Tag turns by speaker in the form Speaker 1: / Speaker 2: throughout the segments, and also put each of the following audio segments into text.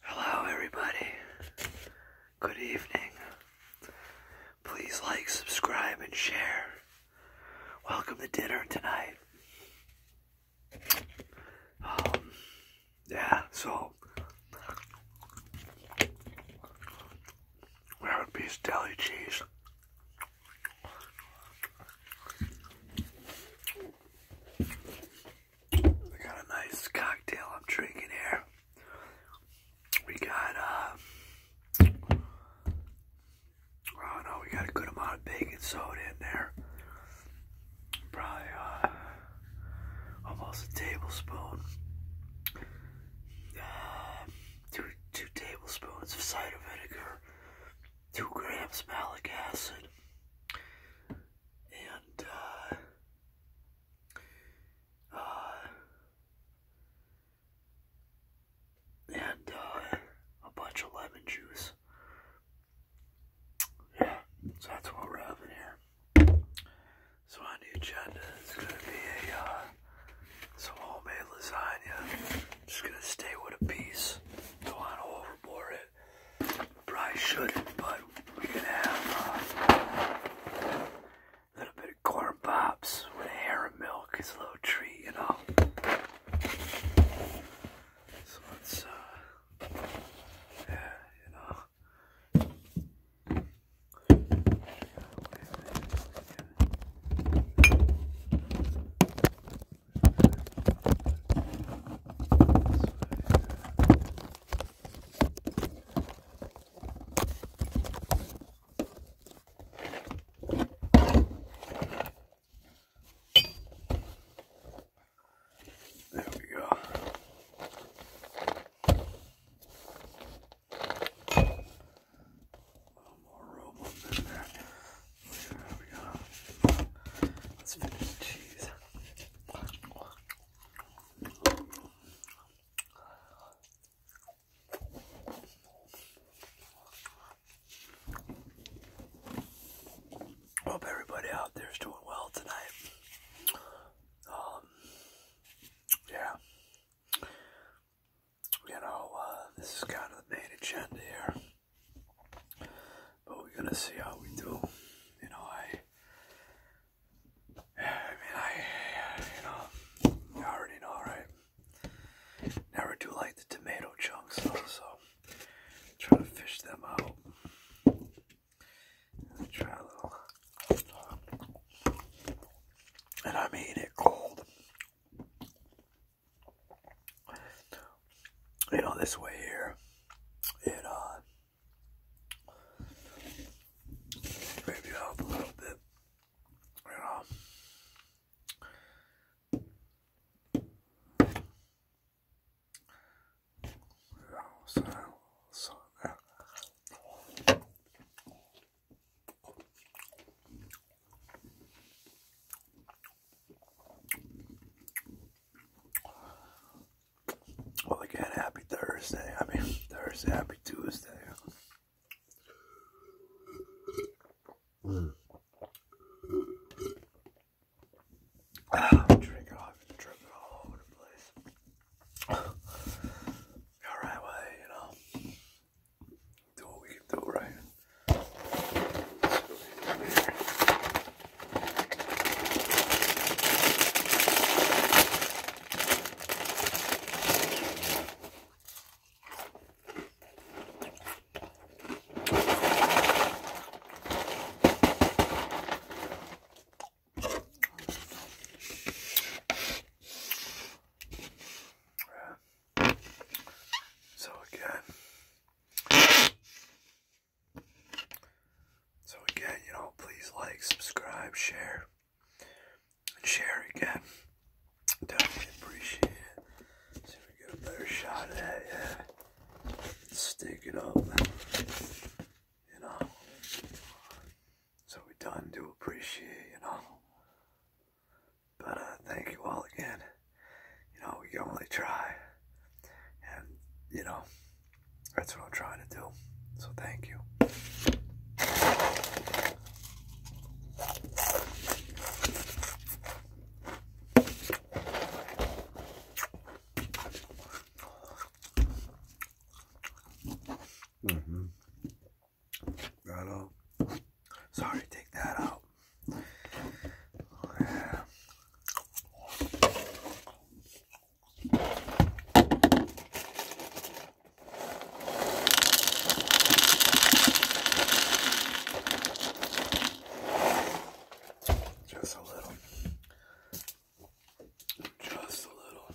Speaker 1: Hello, everybody. Good evening. Please like, subscribe, and share. Welcome to dinner tonight. Um, yeah, so ground beef deli cheese. We got a nice cocktail I'm drinking here. We got, uh, oh no, we got a good amount of baking soda in there. Probably, uh, almost a tablespoon. Uh, two tablespoons of cider vinegar, two grams malic acid, and uh, uh, and uh, a bunch of lemon juice. Yeah, so that's what we're having here. So on the agenda it's gonna be a uh, some homemade lasagna. Just gonna stay with a piece. Don't want to overboard it. Probably shouldn't, but we're gonna have uh, a little bit of corn pops with a hair of milk It's a little treat, you know. So let uh, yeah, you know. There we go. A little more rope up in there. Let's finish the cheese. Hope everybody out there is doing well tonight. Um, yeah. You know, uh, this is kind of the main agenda here. But we're gonna see how we do. You know, I. I mean, I. You know, already know, right? Never do like the tomato chunks, though, so try to fish them out. try a little. And I mean it cold you know, this way here, it, uh, maybe up a little bit, well, again, happy Thursday. I mean, Thursday, happy Tuesday. Mm. off, I'm all over the place. All right, well, you know, do what we can do, so again, so again, you know, please like, subscribe, share, and share again. Definitely appreciate it. See if we get a better shot at it. Stick it up. You know. So we done do appreciate, you know. But uh, thank you all again you know, you only try. And, you know, that's what I'm trying to do. So thank you. Mm-hmm. Right on. Sorry, take that out. Just a little. Just a little.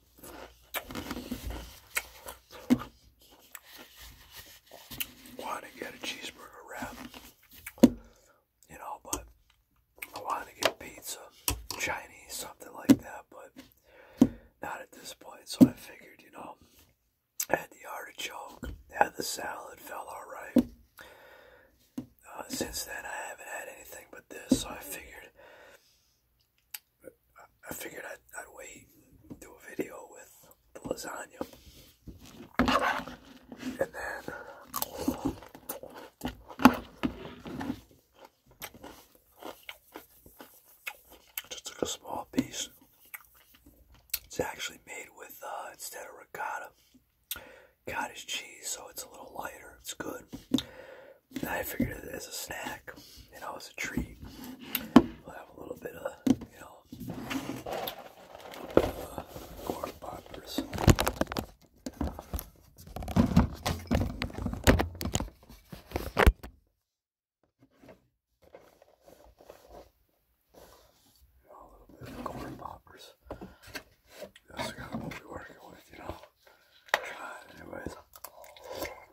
Speaker 1: Want to get a cheeseburger wrap, you know, but I want to get pizza, Chinese, something like that, but not at this point. So I figured, you know, had the artichoke, had the salad, felt all right. Uh, since then, I haven't had anything but this, so I figured I figured I'd, wait and do a video with the lasagna. And then just took a small piece. It's actually made with, uh, instead of ricotta, cottage cheese, so it's a little lighter. It's good. I figured it as a snack, you know, as a treat. We'll have a little bit of, you know, corn poppers. a little bit of corn poppers. That's kind of what working with, you know. Try anyways.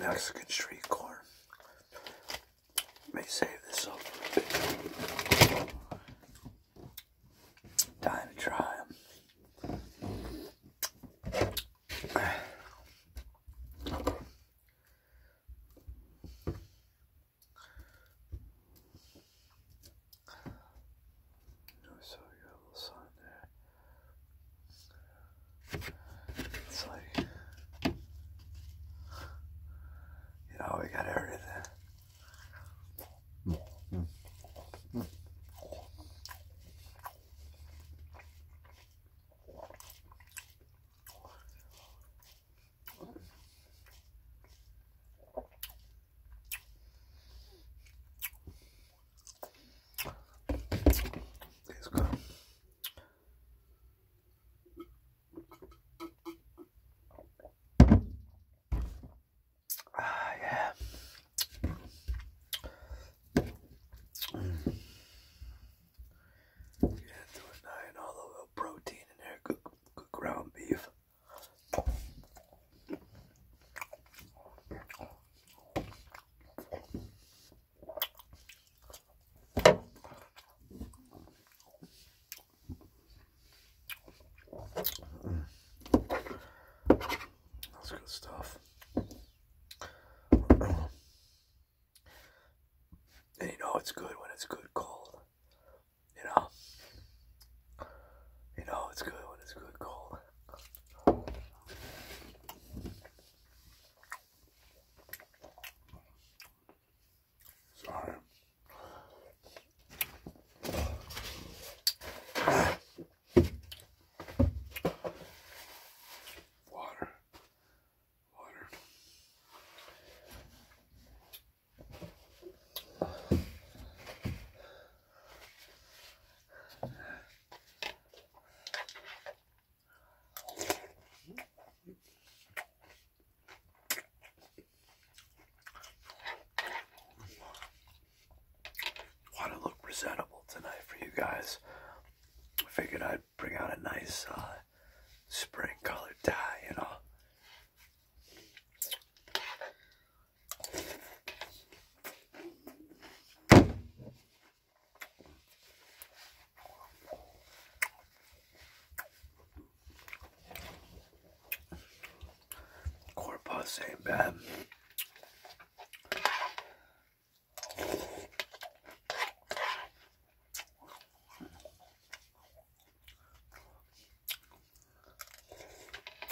Speaker 1: Mexican street corn. May save this up Time to try them. So you have little sign there. It's like, you know, we got everything. Let's go. Ah, yeah. Mm. Yeah, do a nine all over protein in there, good, good ground beef. That's good stuff. And you know it's good when it's good cold. You know? You know it's good when it's good cold. Sorry. Water. Water. Want to look presentable tonight for you guys. I figured I'd bring out a nice uh, spring colored tie, you know. Corpus ain't bad.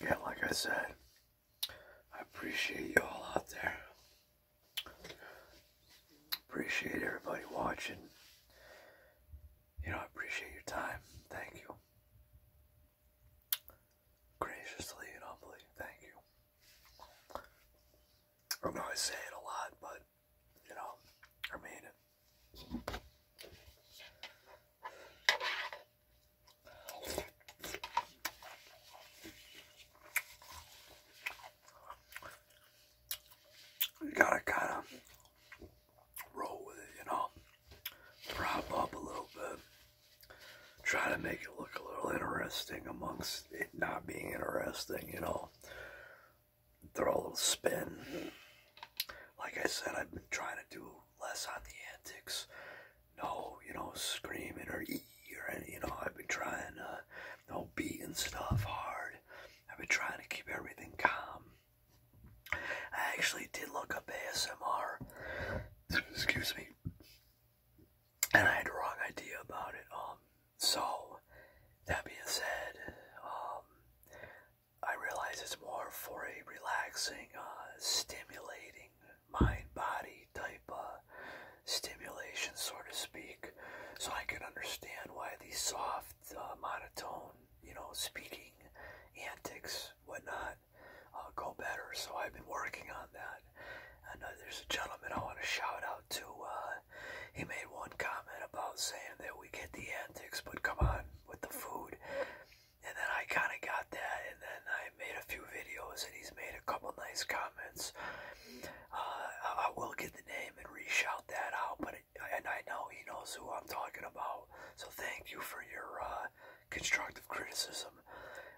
Speaker 1: again, like I said, I appreciate you all out there. Appreciate everybody watching. You know, I appreciate your time. Thank you. Graciously and humbly, thank you. I know I say it a lot, but, you know, I mean it gotta kind of roll with it, you know. Prop up a little bit. Try to make it look a little interesting amongst it not being interesting, you know. Throw a little spin. Like I said, I've been trying to do less on the antics. No, you know, screaming or e or any, you know, I've been trying, uh, no and stuff hard. I've been trying to keep everything calm. I actually did look up ASMR. Excuse me. And I had a wrong idea about it. Um, so that being said, um, I realize it's more for a relaxing, uh, stimulating mind body type uh, stimulation, so to speak. So I can understand why the soft, uh, monotone, you know, speaking antics, whatnot, uh, go better. So I've been working on that. And uh, there's a gentleman I want to shout out to. Uh, he made one comment about saying that we get the antics, but come on with the food and then I kind of got that, and then I made a few videos, and he's made a couple nice comments. Uh, I will get the name and reshout that out, but and I know he knows who I'm talking about. So thank you for your uh, constructive criticism.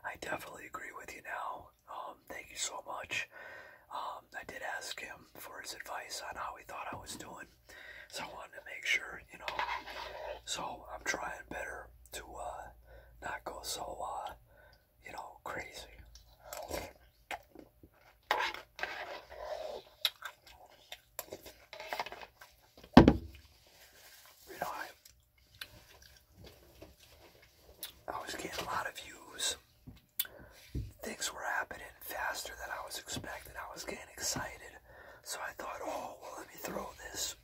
Speaker 1: I definitely agree with you now. Um, thank you so much. Um, I did ask him for his advice on how he thought I was doing. So I wanted to make sure, you know. So I'm trying better to uh, not go so, uh, you know, crazy. You know, I was getting a lot of views. Things were happening faster than I was expecting. I was getting excited. So I thought, oh, well, let me throw this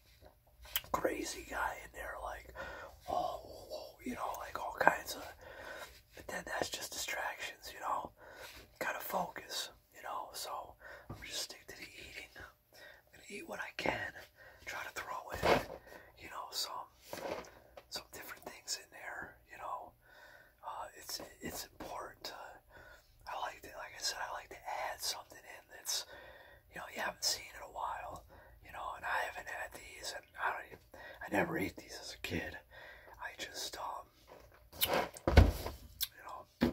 Speaker 1: crazy guy in there, like, oh, you know, like all kinds of. But then that's just distractions, you know. Kind of focus, you know. So I'm just stick to the eating. I'm gonna eat what I can. Try to throw in, you know, some some different things in there, you know. Uh, it's it's important I like it, like I said, I like to add something in that's, you know, you haven't seen in a while, you know, and I haven't had these, and I don't even, I never ate these as a kid. I just, um, you know,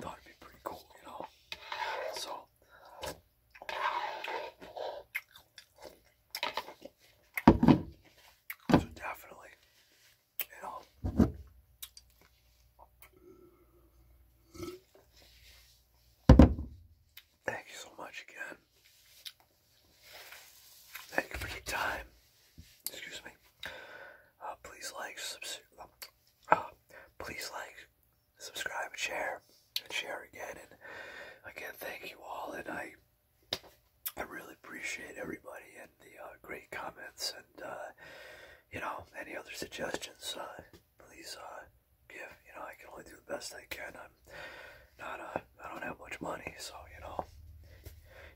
Speaker 1: thought would be pretty cool, you know, So definitely, Thank you so much again. Thank you for your time. Excuse me. Uh, please like, subscribe. Uh, please like, subscribe, and share, and share again. And again, thank you all. And I I really appreciate everybody and the uh, great comments and uh, you know any other suggestions. Uh, please give. You know I can only do the best I can. I'm not. Uh, don't have much money, so you know.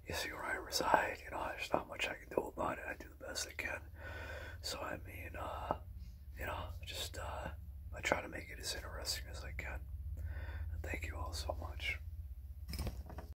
Speaker 1: You see where I reside. You know there's not much I can do about it. I do the best I can. So I mean, you know, just I try to make it as interesting as I can. thank you all so much.